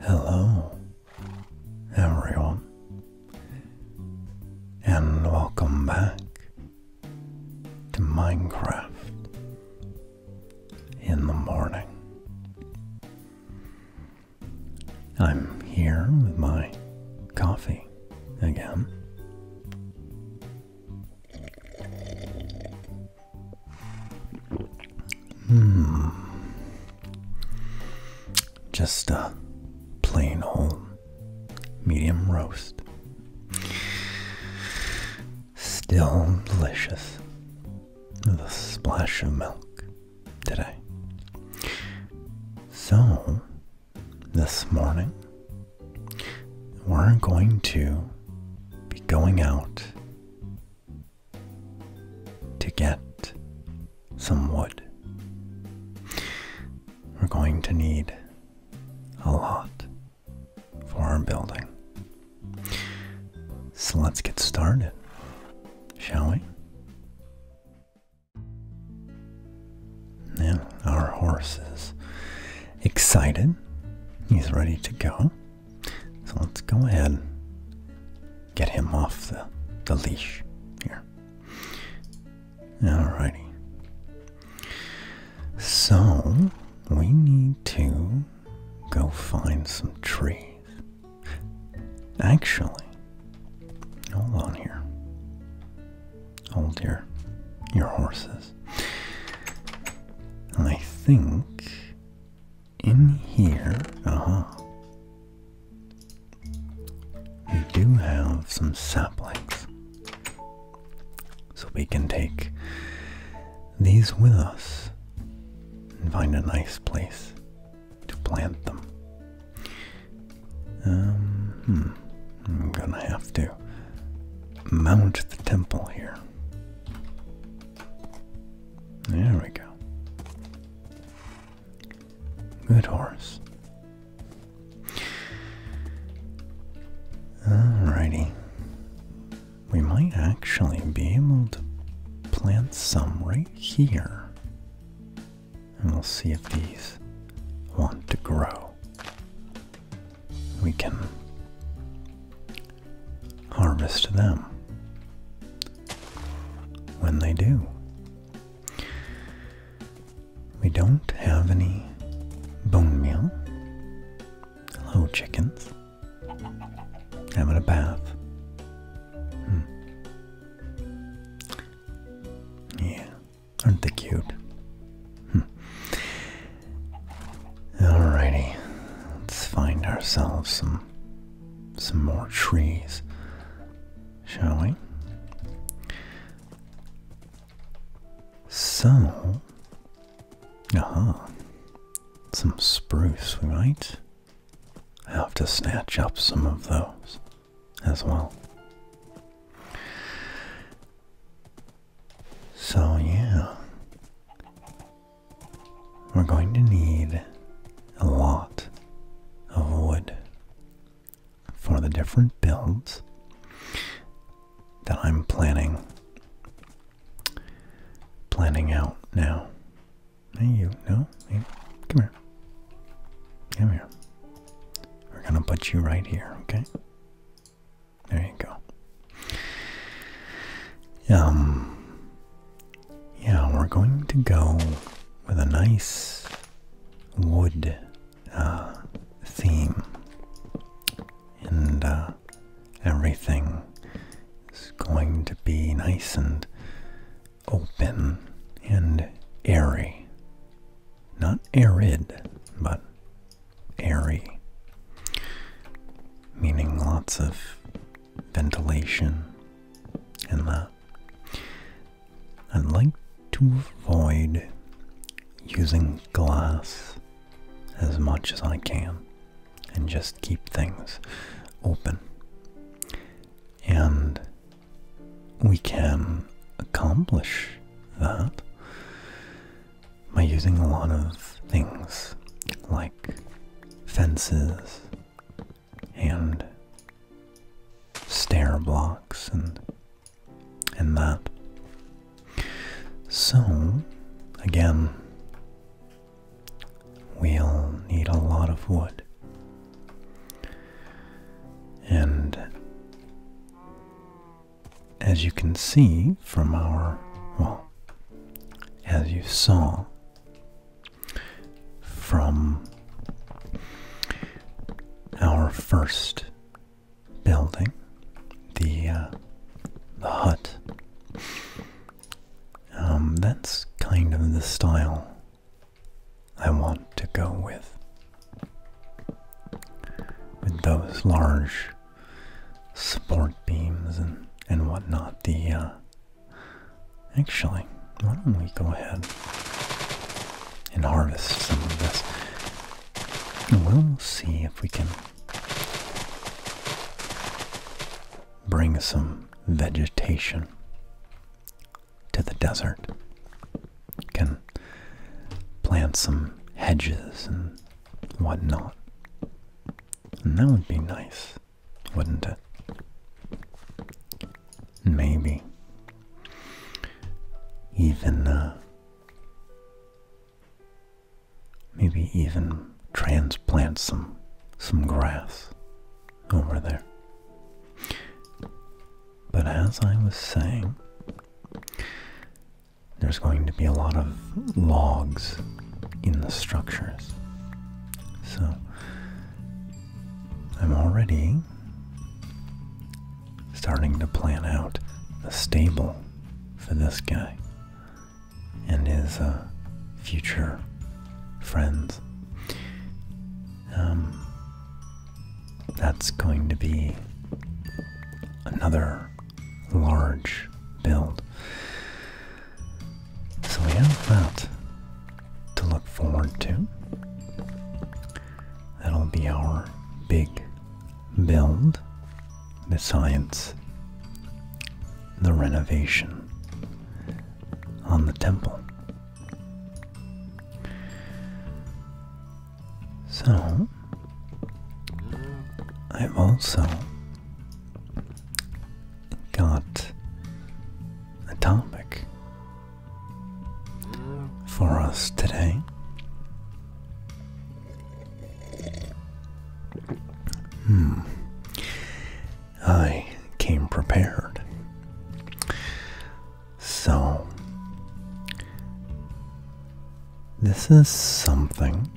Hello, everyone, and welcome back to Minecraft in the morning. I'm here with my coffee again. Hmm. Just a plain old medium roast. Still delicious. With a splash of milk today. So, this morning, we're going to be going out to get some wood. We're going to need a lot for our building. So let's get started, shall we? And our horse is excited. He's ready to go. So let's go ahead get him off the, the leash here. Alrighty. So we need to go find some trees. Actually, hold on here hold your your horses. I think in here, uh-huh. We do have some saplings. So we can take these with us and find a nice place to plant them. Um, hmm. I'm gonna have to mount the temple here. There we go. Good horse. Alrighty. We might actually be able to plant some right here and we'll see if these want to grow. We can harvest them when they do. We don't have any bone meal. Hello, chickens. Having a bath. Hmm. Yeah. Aren't they cute? Hmm. All righty, let's find ourselves some some more trees, shall we? So, uh -huh. some spruce we might have to snatch up some of those as well. So, yeah, we're going to need a lot of wood for the different builds that I'm planning planning out now. Hey, you, no, hey, come here. Come here. We're gonna put you right here, okay? There you go. Um, yeah, we're going to go with a nice wood uh, theme, and uh, everything is going to be nice and open and airy. Not arid, but airy. Meaning lots of ventilation and that. I'd like to avoid using glass as much as I can and just keep things open. And we can accomplish that by using a lot of things like fences and stair blocks and and that. So again we'll need a lot of wood. And as you can see from our, well, as you saw from our first building, the uh, the hut. Um, that's kind of the style I want to go with with those large support beams and, and whatnot. The uh, actually, why don't we go ahead and harvest some of this? And we'll see if we can bring some vegetation to the desert can plant some hedges and whatnot. And that would be nice, wouldn't it? Maybe. Even, uh, maybe even transplant some, some grass over there. But as I was saying, there's going to be a lot of logs in the structures. So I'm already starting to plan out the stable for this guy and his uh, future friends. Um, that's going to be another large build. So we have that to look forward to. That'll be our big build besides the renovation on the temple. So, I've also got a topic for us today. Hmm. I came prepared. So, this is something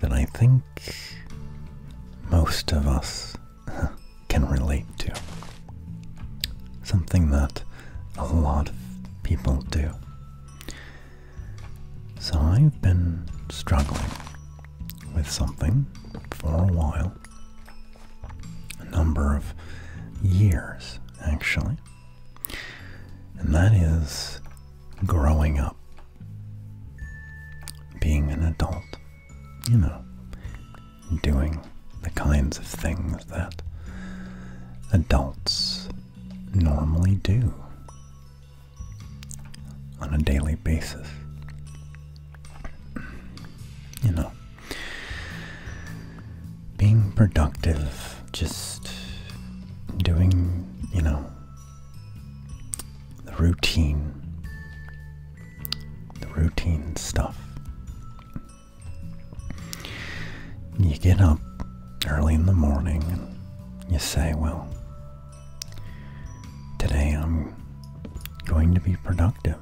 that I think most of us can relate to. Something that a lot of people do. So, I've been struggling with something for a while, a number of years actually. And that is growing up, being an adult, you know, doing the kinds of things that adults normally do on a daily basis. You know, being productive, just doing, you know, the routine, the routine stuff. You get up early in the morning and you say, well, today I'm going to be productive.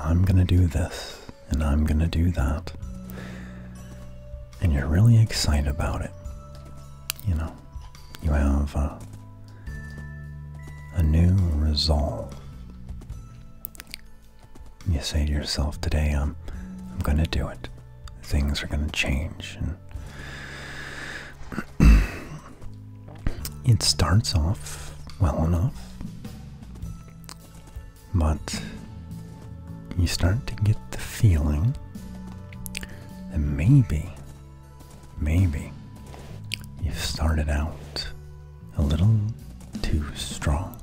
I'm going to do this and I'm going to do that. And you're really excited about it. You know, you have uh, a, new resolve. You say to yourself, today um, I'm, I'm going to do it. Things are going to change. And it starts off well enough. But you start to get the feeling that maybe, maybe you've started out a little too strong.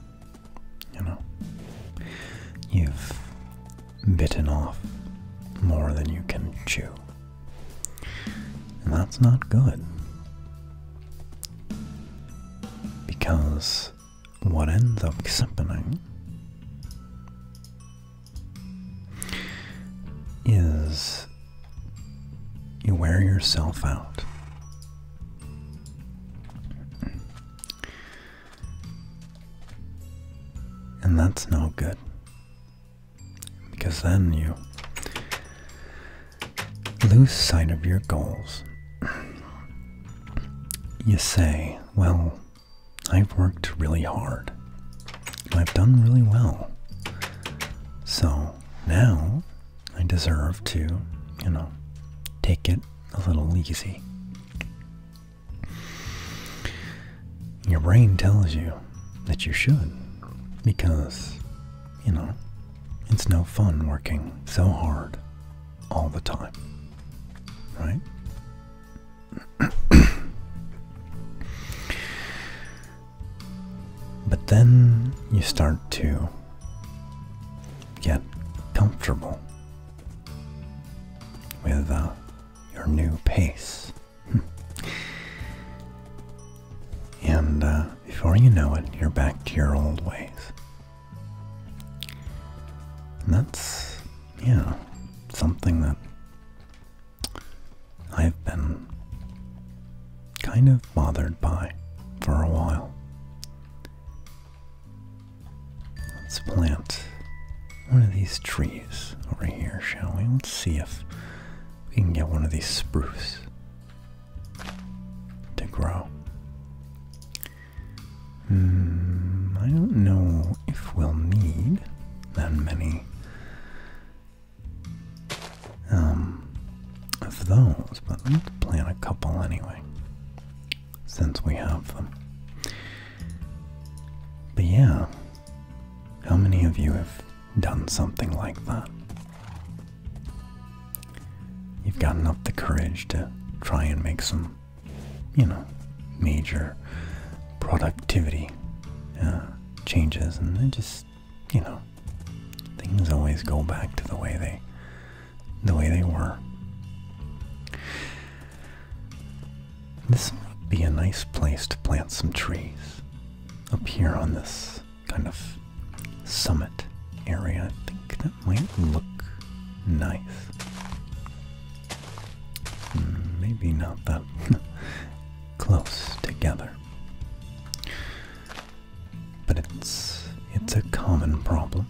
You know, you've bitten off more than you can chew. And that's not good. Because what ends up happening is you wear yourself out. And that's no good. Because then you lose sight of your goals. You say, well, I've worked really hard. I've done really well. So now I deserve to, you know, take it a little easy. Your brain tells you that you should because, you know, it's no fun working so hard all the time, right? but then you start to get comfortable with uh, your new pace. and uh, before you know it, you're back to your old ways. And that's, yeah, something that I've been kind of bothered by for a while. Let's plant one of these trees over here, shall we? Let's see if we can get one of these spruce to grow. Hmm, I don't know if we'll need that many um, of those, but let's plant a couple anyway, since we have them. But yeah, how many of you have done something like that? You've gotten up the courage to try and make some, you know, major productivity uh, changes, and then just, you know, things always go back to the way they, the way they were. This might be a nice place to plant some trees up here on this kind of summit area. I think that might look nice. Hmm, maybe not that close together. But it's it's a common problem.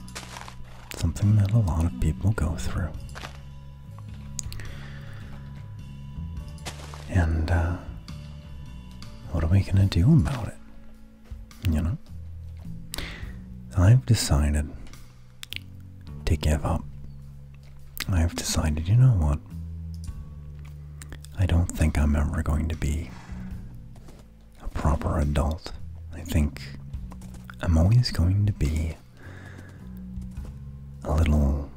Something that a lot of people go through. And uh, what are we gonna do about it? You know? I've decided to give up. I've decided, you know what? I don't think I'm ever going to be a proper adult. I think I'm always going to be a little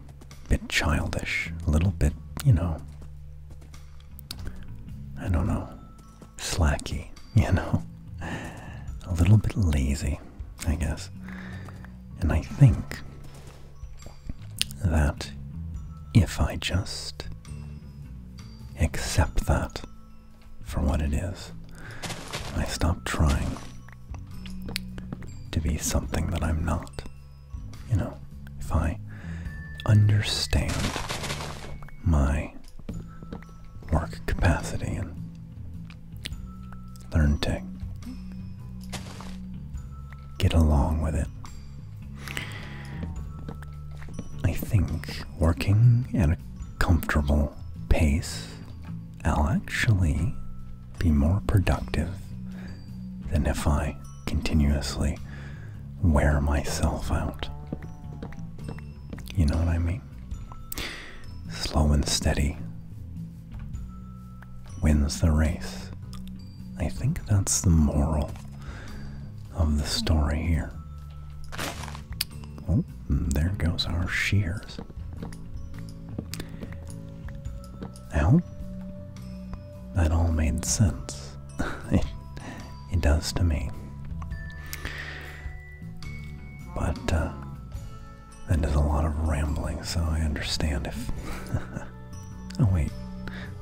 bit childish, a little bit, you know, I don't know, slacky, you know, a little bit lazy, I guess. And I think that if I just accept that for what it is, I stop trying to be something that I'm not. You know, if I understand my work capacity and learn to get along with it. I think working at a comfortable pace, I'll actually be more productive than if I continuously wear myself out. You know what I mean? Slow and steady wins the race. I think that's the moral of the story here. Oh, there goes our shears. Now, that all made sense. it, does to me. But uh, that is a lot of rambling, so I understand if. oh, wait.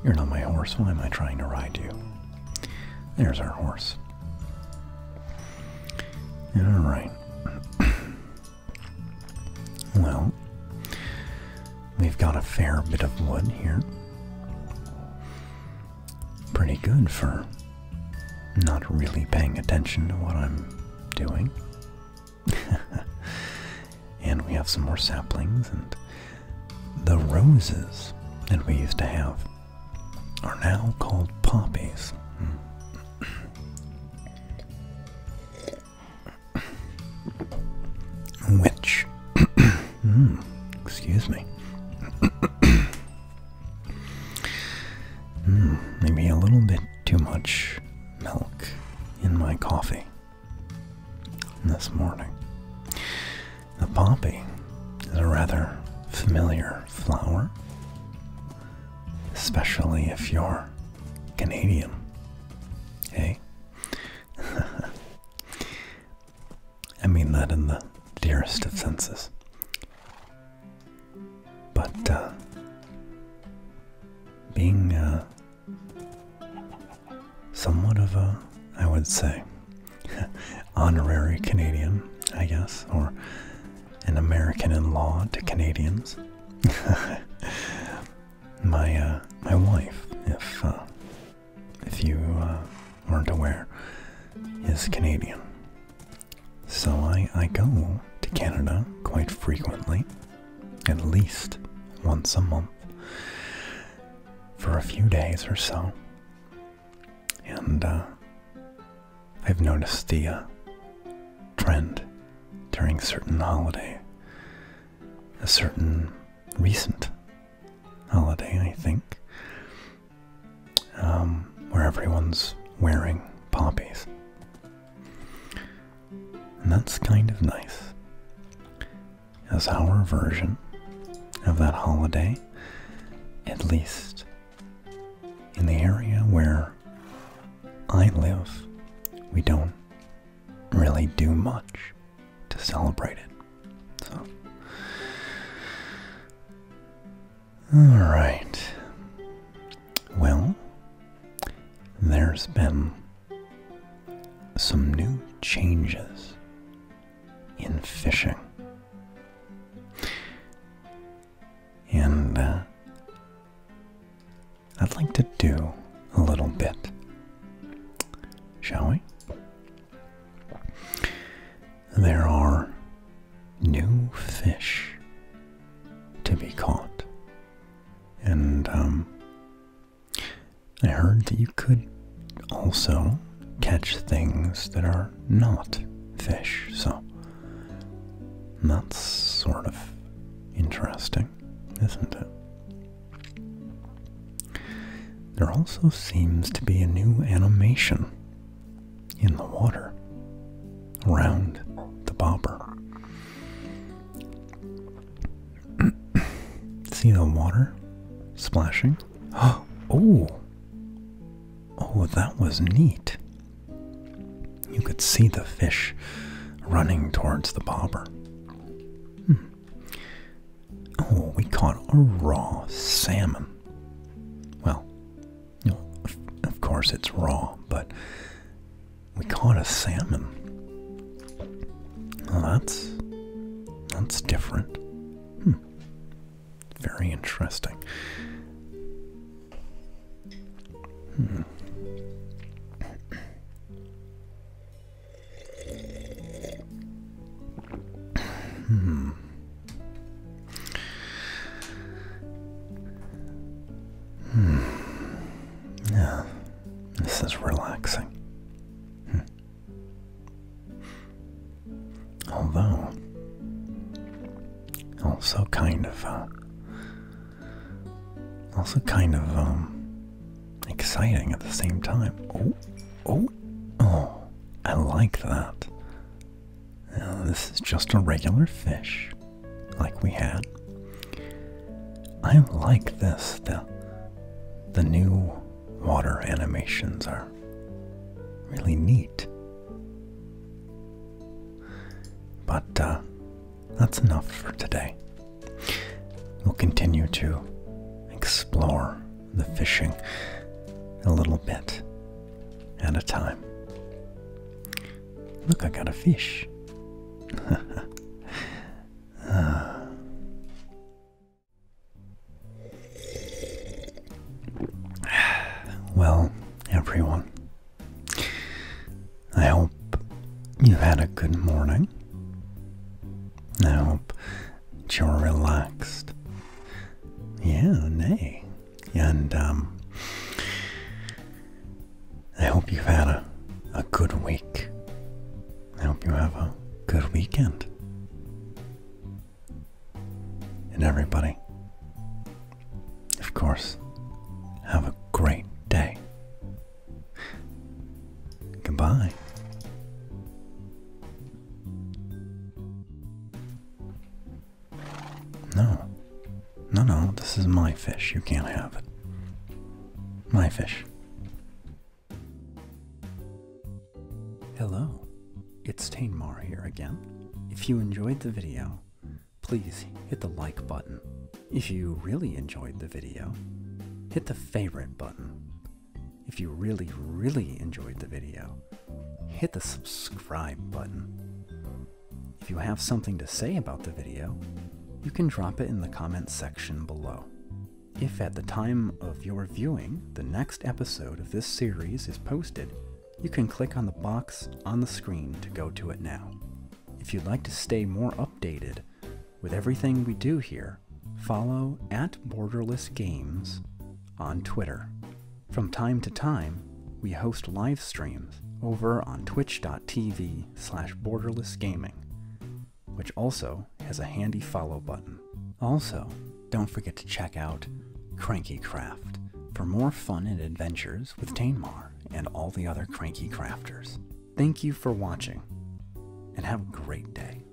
You're not my horse. Why am I trying to ride you? There's our horse. Alright. well, we've got a fair bit of wood here pretty good for not really paying attention to what I'm doing. and we have some more saplings, and the roses that we used to have are now called poppies. Hmm. Which excuse me. Hmm, maybe a little bit too much milk in my coffee this morning. The poppy is a rather familiar flower, especially if you're Canadian. Hey? Eh? I mean that in the dearest of senses. But uh, being uh, somewhat of a, I would say, honorary Canadian, I guess, or an American in law to Canadians. my uh, my wife, if if you uh, weren't aware, is Canadian. So I, I go to Canada quite frequently, at least once a month, for a few days or so. And uh, I've noticed the uh, trend during certain holiday, a certain recent holiday, I think, um, where everyone's wearing poppies. And that's kind of nice. As our version of that holiday, at least in the area where I live, we don't really do much to celebrate it. So, all right. Well, there's been some new changes in fishing. And uh, I'd like to do a little bit, shall we? There are new fish to be caught. And um, I heard that you could also catch things that are not fish, so that's sort of interesting, isn't it? There also seems to be a new animation in the water around the bobber. See the water splashing? Oh! Oh, that was neat. You could see the fish running towards the bobber. Hmm. Oh, we caught a raw salmon. Well, of, course it's raw, but we caught a salmon. that's that's different. Hmm. Very interesting. Hmm. Hmm. Hmm. Yeah, this is relaxing. Hmm. Although, also kind of, uh, also kind of, um, exciting at the same time. Oh, oh, oh, I like that. this is just a regular fish, like we had. I like this. The, the new water animations are really neat. But uh, that's enough for today. We'll continue to explore the fishing a little bit at a time. Look, I got a fish. Ah. Well, everyone, I hope you have had a good morning. I hope that you're relaxed yeah, nay. And um, I hope you've had a, a good week. I hope you have a good weekend. And everybody, of course, have a great day. Goodbye. No. No, no, this is my fish. You can't have it. My fish. Hello, it's Tainmar here again. If you enjoyed the video, please hit the like button. If you really enjoyed the video, hit the favorite button. If you really, really enjoyed the video, hit the subscribe button. If you have something to say about the video, you can drop it in the comments section below. If at the time of your viewing the next episode of this series is posted, you can click on the box on the screen to go to it now. If you'd like to stay more updated with everything we do here, follow at Borderless Games on Twitter. From time to time, we host live streams over on twitch.tv slash borderlessgaming, which also has a handy follow button. Also, don't forget to check out Cranky Craft for more fun and adventures with Tainmar and all the other cranky crafters. Thank you for watching, and have a great day.